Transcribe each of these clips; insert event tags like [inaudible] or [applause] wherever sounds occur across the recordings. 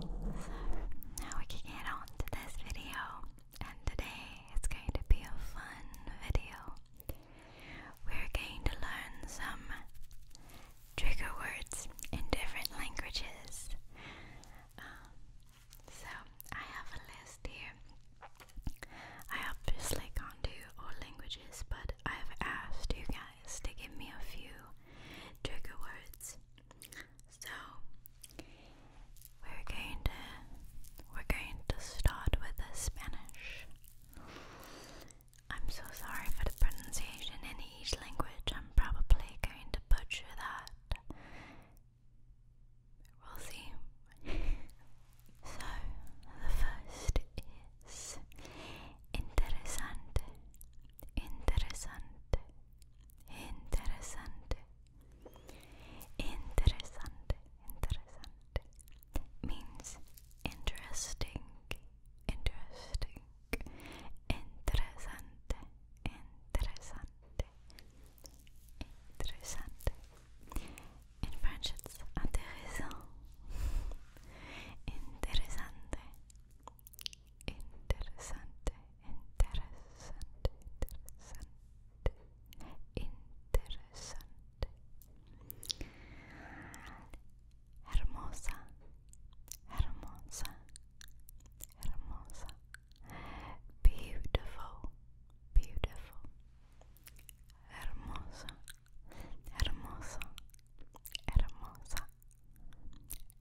So now we can get on to this video, and today it's going to be a fun video. We're going to learn some trigger words in different languages. Um, so I have a list here. I obviously can't do all languages, but I've asked you guys to give me a few trigger words so we're going to we're going to start with the Spanish. I'm so sorry for the pronunciation in each language. I'm probably going to butcher that. We'll see. [laughs] so the first is interesante. Interessante, interessante, interessante, interessante means interesting, interesting, interessante, interessante, interessante. In French, it's intéressant, interessante. Interessante, interessante, interessante, interessante. Hermosa, hermosa, hermosa. Beautiful, beautiful. Hermosa, hermosa, hermosa,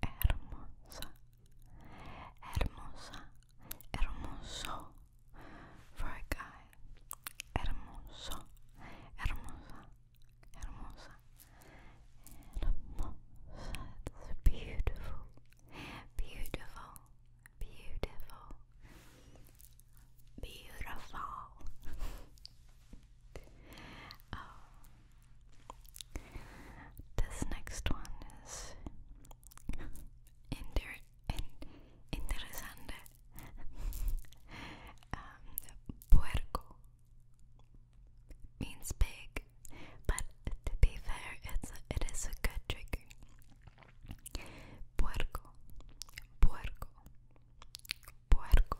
hermosa, hermosa, hermoso for a guy, hermoso, hermosa, hermosa, hermosa. It's beautiful, beautiful, beautiful, beautiful. [laughs] Oh. This next one is inter in interesante. [laughs] Um, puerco means pig, but to be fair, it's a, it is a good drink. Puerco, puerco, puerco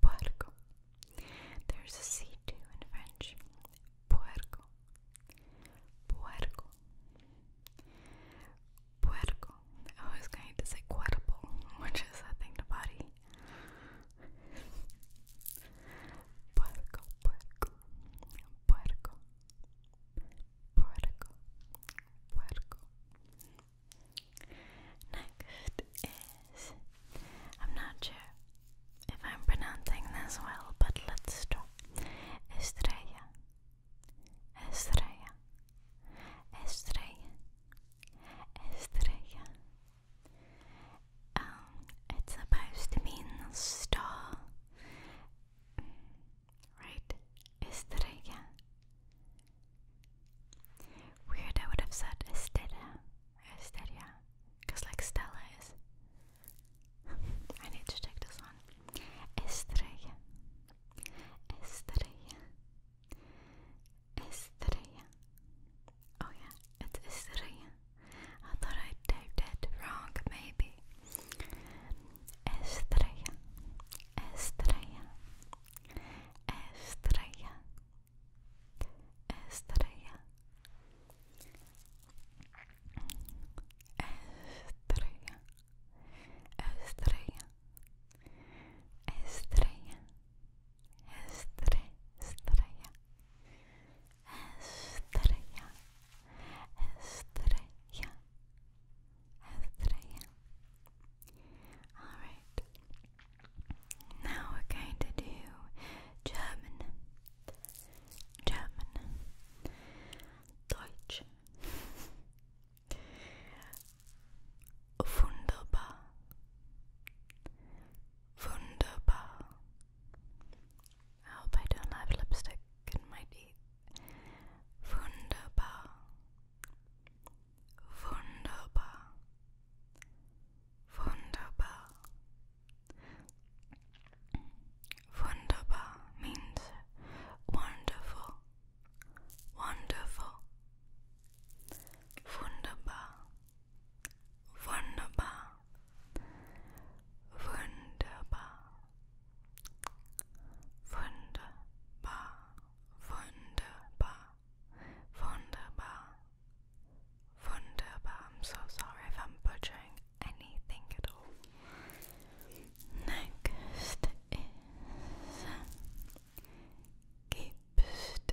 Puerco. There's a C too in French. Puerco. Puerco. Puerco. I was going to say cuerpo, which is I think the body. puerco, puerco, puerco, puerco, puerco, Next is I'm not sure if I'm pronouncing this well, but let's try. Estrella, Estrella, Estrella, Estrella. Um, it's supposed to mean star, mm, right? Estrella, Weird, I would have said Estella, Estelia. Because, like, Stella is. [laughs] I need to check this one. Estrella. Estrella. Estrella. Oh, yeah, it's Estrella. I thought I typed it wrong, maybe. Estrella. Estrella. Estrella. Estrella Estrella Estrella Estrella Estre Estrella Estrella Estrella Estrella Alright now we're going to do German, German, Deutsch. Wunderbar, wunderbar. I hope I don't have lipstick in my teeth. Wunderbar, wunderbar, Wunderbar. Wunderbar means wonderful, wonderful. Wunderbar, wunderbar, wunderbar, wunderbar, wunderbar, wunderbar. Wunderbar. I'm so sorry if I'm butchering anything at all. Next is Gibst.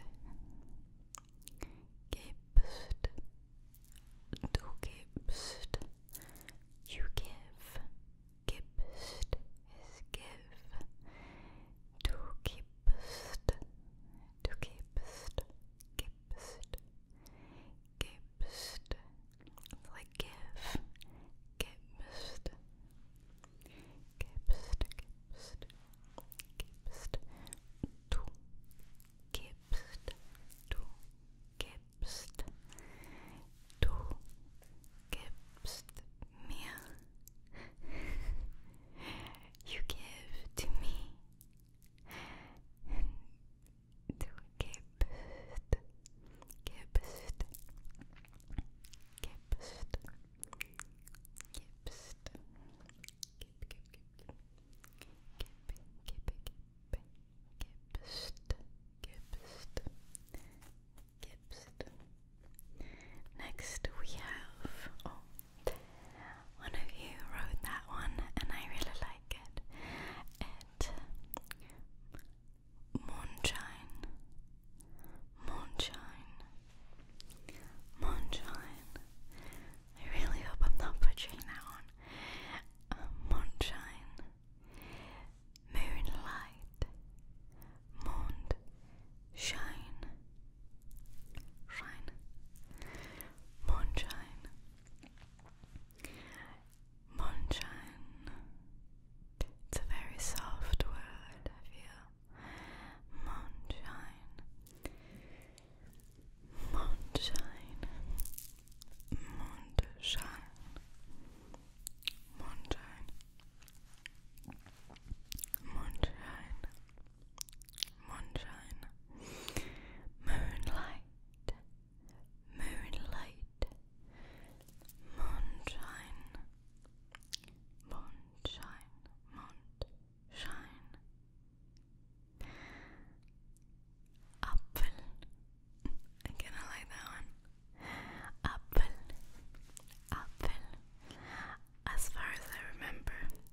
Du gibst. You give. Gibst is give. Du gibst, du gibst, gibst, gibst. It's like give, gibst, gibst, gibst, gibst. Du gibst, du gibst, du gibst mir you give to me and to gibst, gibst, gibst, gibst, gib, gib, gib, gib, gib, gib, gibst, gibst, gibst. Next we have, oh, one of you wrote that one, and I really like it. moonshine, moonshine, moonshine. I really hope I'm not butchering that one. Um, moonshine, moonlight, moon, shine, shine, moonshine, moonshine. It's a very soft word, I feel. Moonshine, moonshine, moonshine, moonshine. Moonshine, Moonshine, moonlight, moonlight, moonshine, moonshine, moonshine, apple. I kind of like that one. Apple, apple. As far as I remember,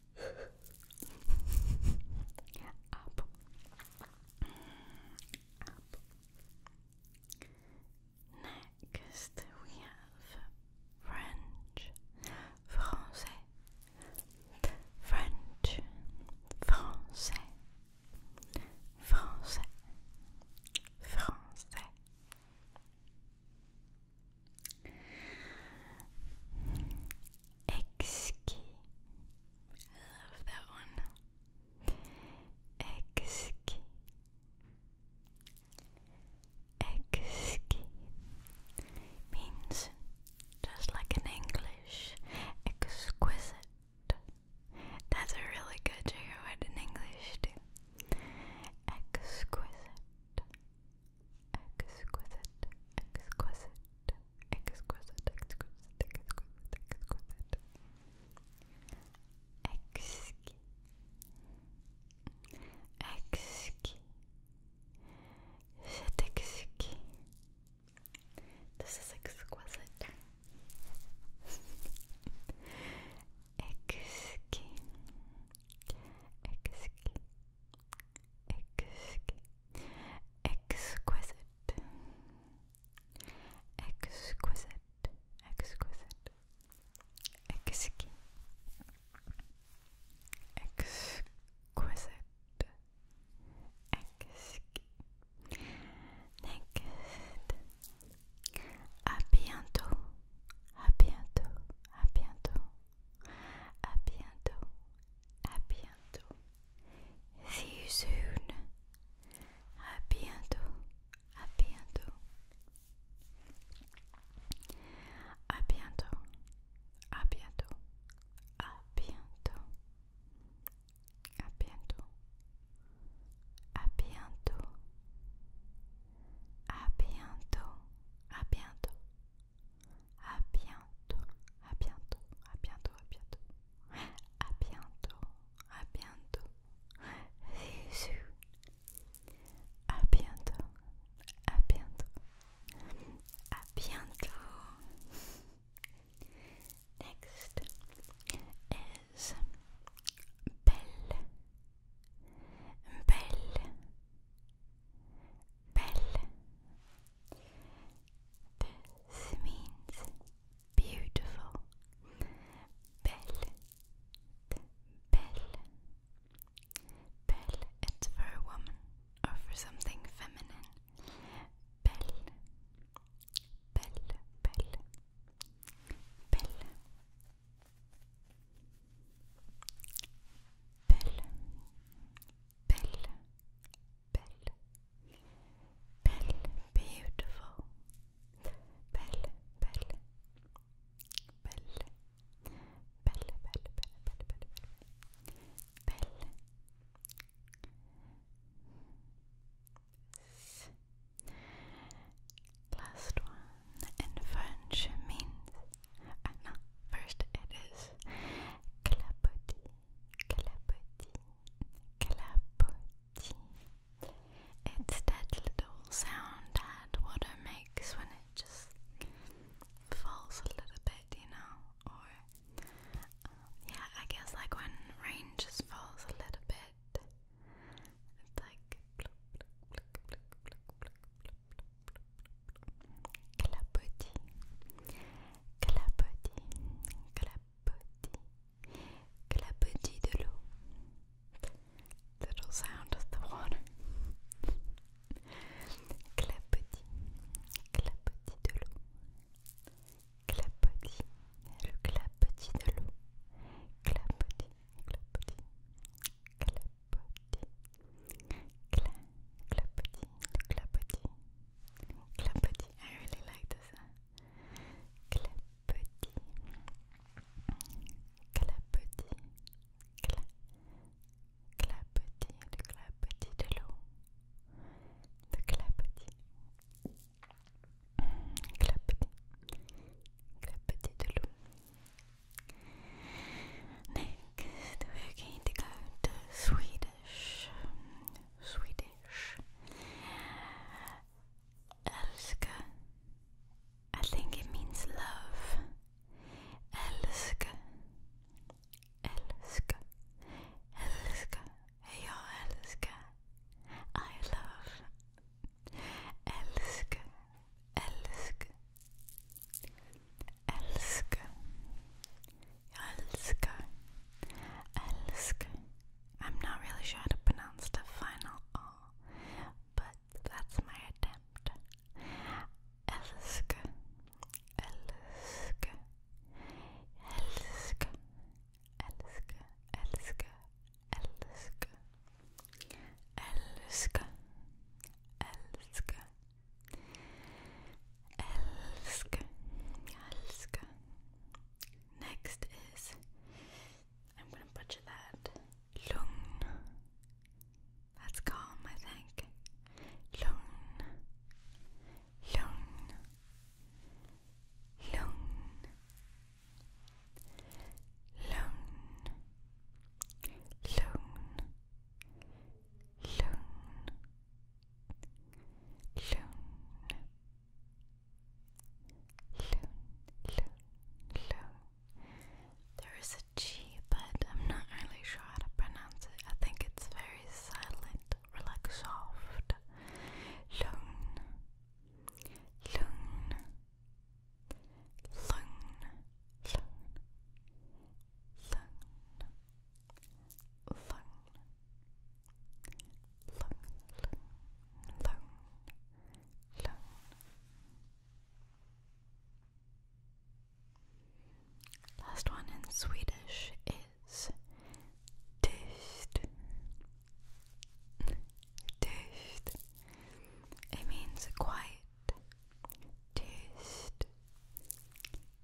Next we have French, Français, French, Français, Français, Français. Exquis. I love that one. Exquis. Exquis means just like in English, exquisite. That's a really good word in English too. Exquisite exquisite, exquisite, exquisite, exquisite, exquisite, exquisite. Exquisite. Exquisite. C'est exquis. This is exquisite. exquis. Exquis. Exquis. Exquisite. Exquisite. Exquisite. Exquisite. Exquisite. Exquisite. Next. À bientôt. À bientôt. À bientôt. À bientôt. à bientôt. See you soon. À bientôt. À bientôt. À bientôt. À bientôt. À bientôt. À bientôt. À bientôt. À bientôt. À bientôt à bientôt, à bientôt, à bientôt, à bientôt, à bientôt, à bientôt, Bisous. à bientôt, à bientôt, à bientôt. Next is belle, belle. Belle, This means beautiful, belle, belle, belle. It's for a woman or for something feminine. Belle, belle, belle, belle. Belle, Belle, belle, belle, beautiful, belle, belle, belle, belle, belle, belle, belle, belle, belle. Last one in French means, uh, no, first it is clapotis, clapotine, clapotine. It's that little sound that water makes when it just falls a little bit, you know, or yeah, I guess like when rain just falls a little bit, it's like. clapotis, clapotis, clapotis, clapotis de l'eau. Little sound of the water. clapotis, clapotis de l'eau. Clapotis, le clapotis de l'eau. Clapotis, clapotis, clapotis. clapotis, clapotis. Clapotis. I really like the sound. Clapotis. Clapotis. Cla clapotis. Le clapotis de l'eau. Le clapotis. Clapotis. Clapotis de l'eau. Next, we're going to go to Sweden. Swedish. Älska. I think it means love. Älska. Älska. Älska. Jag älskar. I love. Älska. Älska. Älskar. Jag älskar. Älskar. I'm not really sure how to pronounce the final R, but that's my attempt. Älskar. Älskar. Älskar. Älskar. Älskar. Älskar. Älskar. Älskar. Elsk, elsk. Next is, I'm gonna butcher that. Lugn. That's calm, I think. Lugn, lugn, lugn, lugn, lugn, Lung, Loon. Loon, loon, loon. There is a G, but I'm not really sure how to pronounce it. I think it's very silent or soft. Loon, loon, loon, loon, loon, Last one in Swedish is tyst. Tyst. It means quiet. Tyst.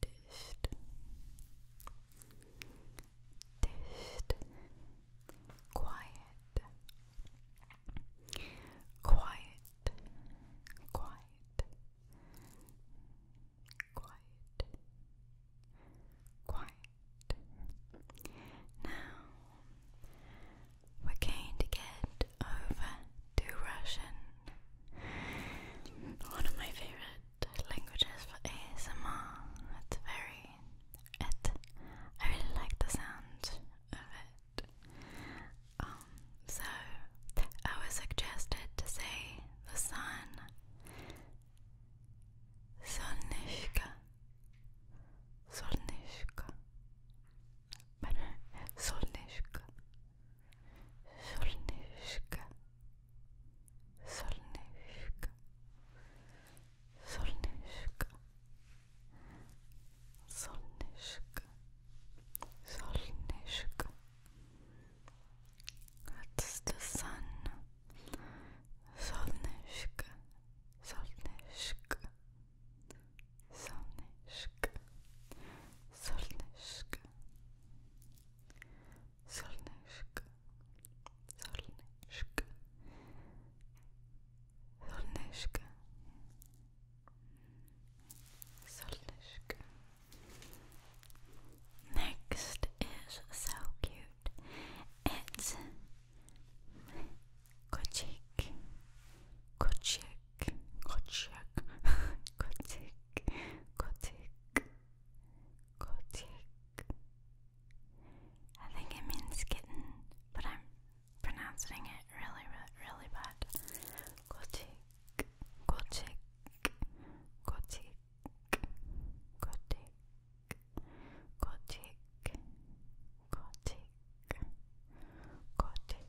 Dished. Dished. Quiet. Quiet. Quiet. Quiet. Quiet. Now we're going to get over to Russian, one of my favorite languages for ASMR. It's very, it, I really like the sound of it. Um, so I was suggested to say the sun, Solnishka, Solnishka. But Solnishka, Солнышко. Солнышко. Солнышко. Солнышко. Солнышко. That's the sun. Солнышко. Солнышко. Солнышко. Солнышко. Solneczka, solneczka, solneczka, solneczka. Next is so cute. It's Kochik, Kochik. Kotik, kotik, kotik, kotik, kotik. I think it means kitten, but I'm pronouncing it really, really, really bad. Gothic, Gothic, Gothic, Gothic, Gothic, Gothic, Gothic.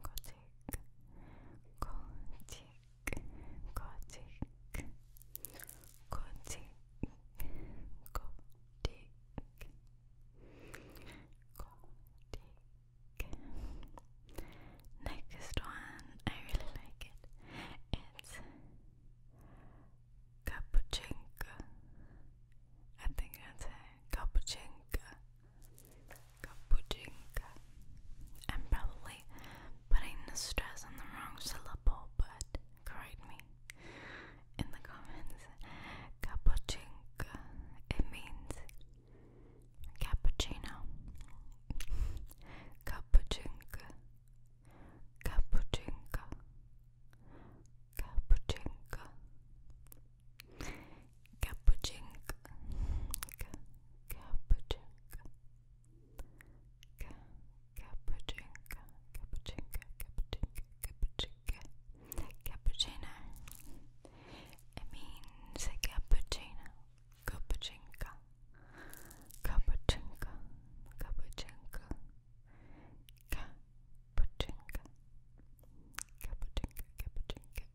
Gothic, Gothic, Gothic, Gothic, Gothic, Gothic. Next one, I really like it. It's Capuchinka. I think that's it. Capuchinka. Kapujinka. I'm probably putting the stress on the wrong syllable, but correct me in the comments. Kapujinka. It means cappuccino. Kapujinka. Kapujinka. Kapujinka. Capuchink Capuchinka Capuchinka Capuchinka Capuchinka Capuchinka Cappuccino It means a cappuccino Capuchinka Capuchinka Capuchinka Capuchinka Capuchinka Capuchinka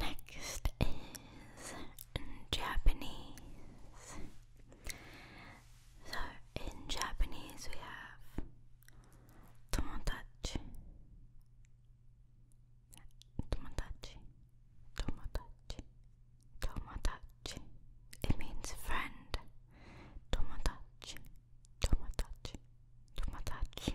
Next is Japanese. So in Japanese we have tomodachi. Tomodachi. Tomodachi. Tomodachi. It means friend. Tomodachi. Tomodachi. Tomodachi.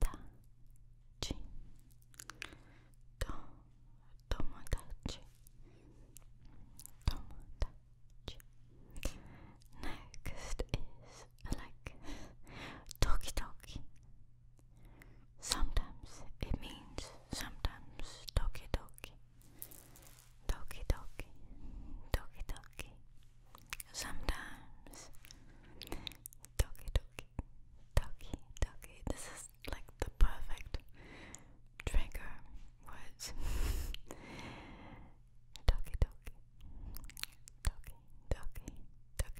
Tomodachi to Tomodachi Tomodachi Next is like Toki Toki Sometimes it means sometimes Toki Toki Toki Toki Toki Toki Sometimes Toki Toki Toki Toki This is like the perfect trigger words [laughs] Toki Toki Toki Toki Toki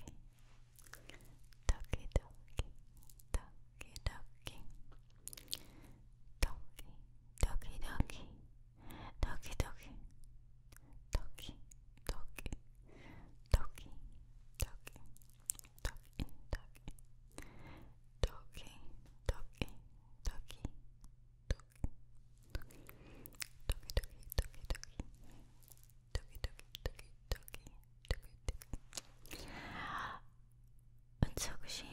Toki Toki Toki Toki Toki Toki Toki toki. Toki toki. Toki toki. Toki toki. Toki toki. Toki toki. Toki toki toki toki. Toki toki toki toki. Toki toki. Unsoku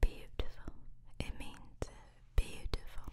Beautiful. It means beautiful.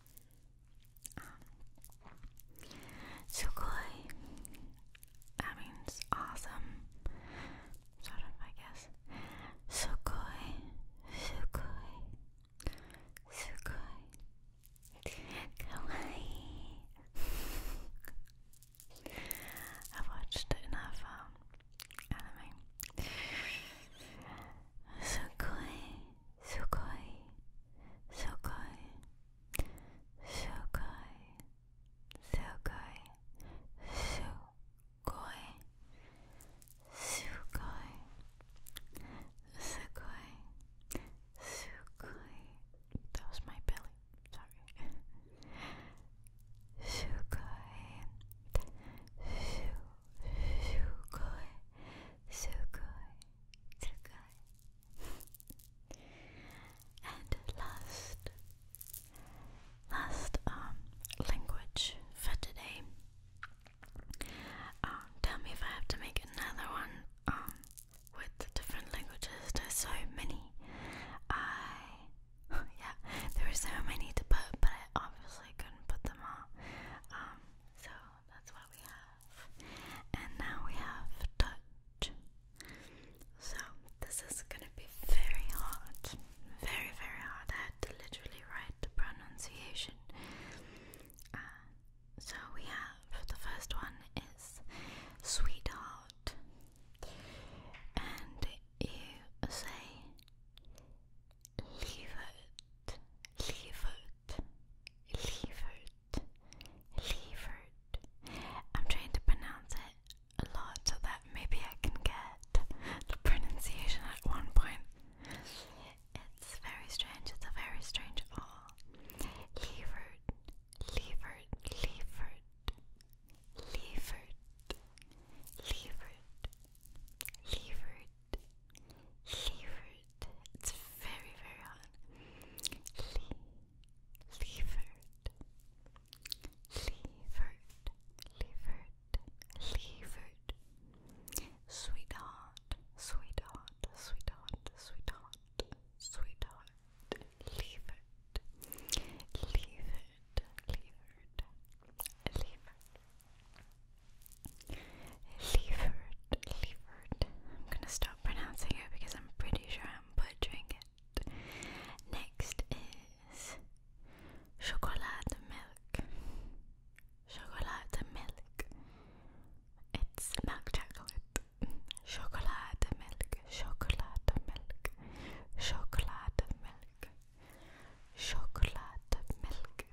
Um, Sugoi, that means awesome, sort of, I guess. Sugoi, Sugoi, Sugoi, Kawaii. I've watched enough um, anime Sukoi, sukoi, sukoi, sukoi, sukoi, sukoi, sukoi, sukoi, sukoi. That was my belly. Sorry. Sukoi, sukoi. And last, last language for today. tell me if I have to make another one with different languages. There's so many. I yeah, there are so many to put, but I obviously couldn't put them all. So that's what we have. And now we have touch. So this is gonna be very hard. Very, very hard. I had to literally write the pronunciation. Uh, so we have the first one is sweetheart. And you say Lievert, Lievert, Lievert, Lievert. I'm trying to pronounce it a lot so that maybe I can get the pronunciation at one point. It's very strange, it's a very strange all. Lievert, Lievert, Lievert, Lievert, Lievert, Lievert, Leeward. It's very, very hot. Lee, Leeward. Leeward. Leeward. Leeward. Sweetheart. Sweetheart. Sweetheart. Sweetheart. Sweetheart. Leeward. Leeward. Leeward. Leeward. Leaford, Leaford. I'm gonna stop pronouncing it because I'm pretty sure I'm butchering it. Next is chocolate milk. Chocolate milk. It's milk chocolate. Chocolate milk. Chocolate milk. Chocolate milk. Chocolate milk.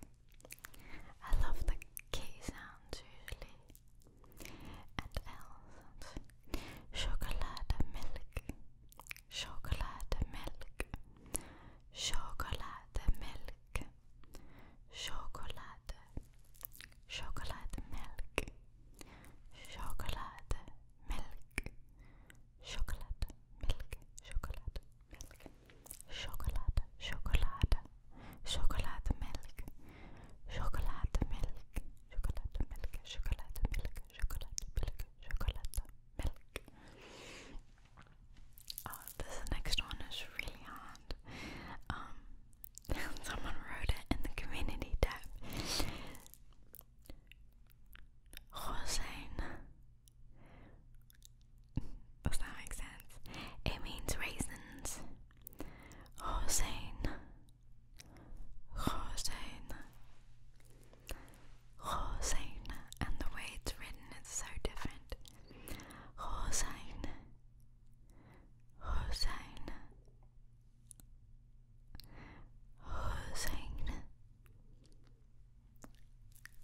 I love the K sounds usually, and L sounds. Chocolate milk, chocolate milk, chocolate milk, chocolate, chocolate milk, chocolate milk, chocolate milk, chocolate milk. Chocolade, chocolade, chocolade milk, chocolade milk, chocolade milk, chocolade milk, chocolade milk, chocolate milk. Oh, this next one is really hard. Um, [laughs] someone wrote it in the community tab. Rosane, does that make sense? It means raisins. Rosein. Rosein. Rosein. And the way it's written is so different. Rosein. Rosein. Rosein.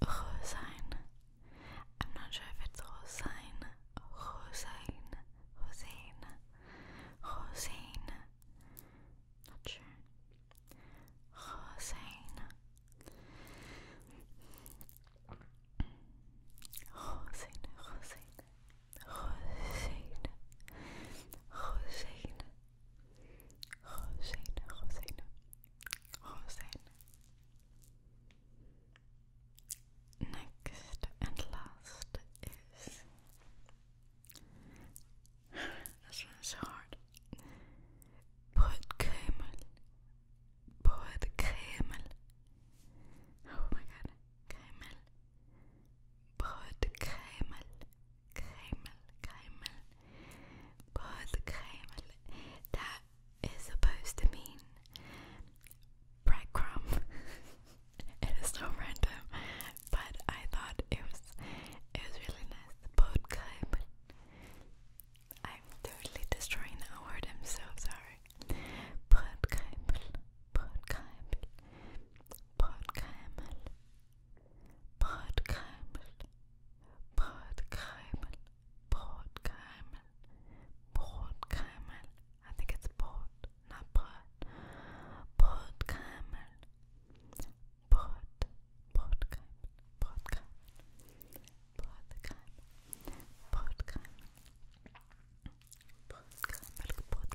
Rosein. I'm not sure if it's Hossein, Hossein, Hossein, Hossein. Not sure. Hossein. Hossein, Hossein, Hossein, Hossein, Hossein, Hossein, Next and last is. this one's so hard. Broodkremel. Broodkremel. Oh my god. Kremel. Broodkremel. Kremel, kremel. Broodkremel. That is supposed to mean breadcrumb. [laughs] it is so random, but I thought it was it was really nice. Bootcamp. I'm totally destroying that word. I'm so sorry. Bootcamp. Bootcamp. Bootcamp. Bootcamp. Bootcamp. Port Carmel, Port Carmel. I think it's port, not pot. Port Carmel, Port, Port Carmel, Port Carmel, Port Carmel, Port Carmel, Port Carmel, Port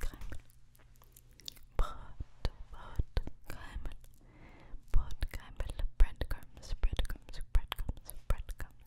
Carmel, Port, Port Carmel, Port Carmel, breadcrumbs, breadcrumbs, breadcrumbs, breadcrumbs.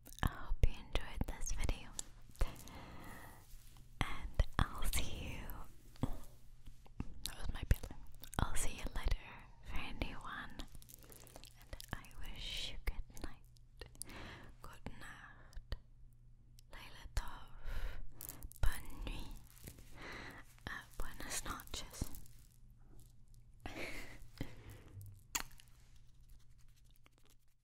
I hope you enjoyed this video, and I'll see you. That was my pillow. I'll see you later for a new one, and I wish you good night. Good night. Laila Tov. Bonne nuit. Uh, buenas noches. [laughs]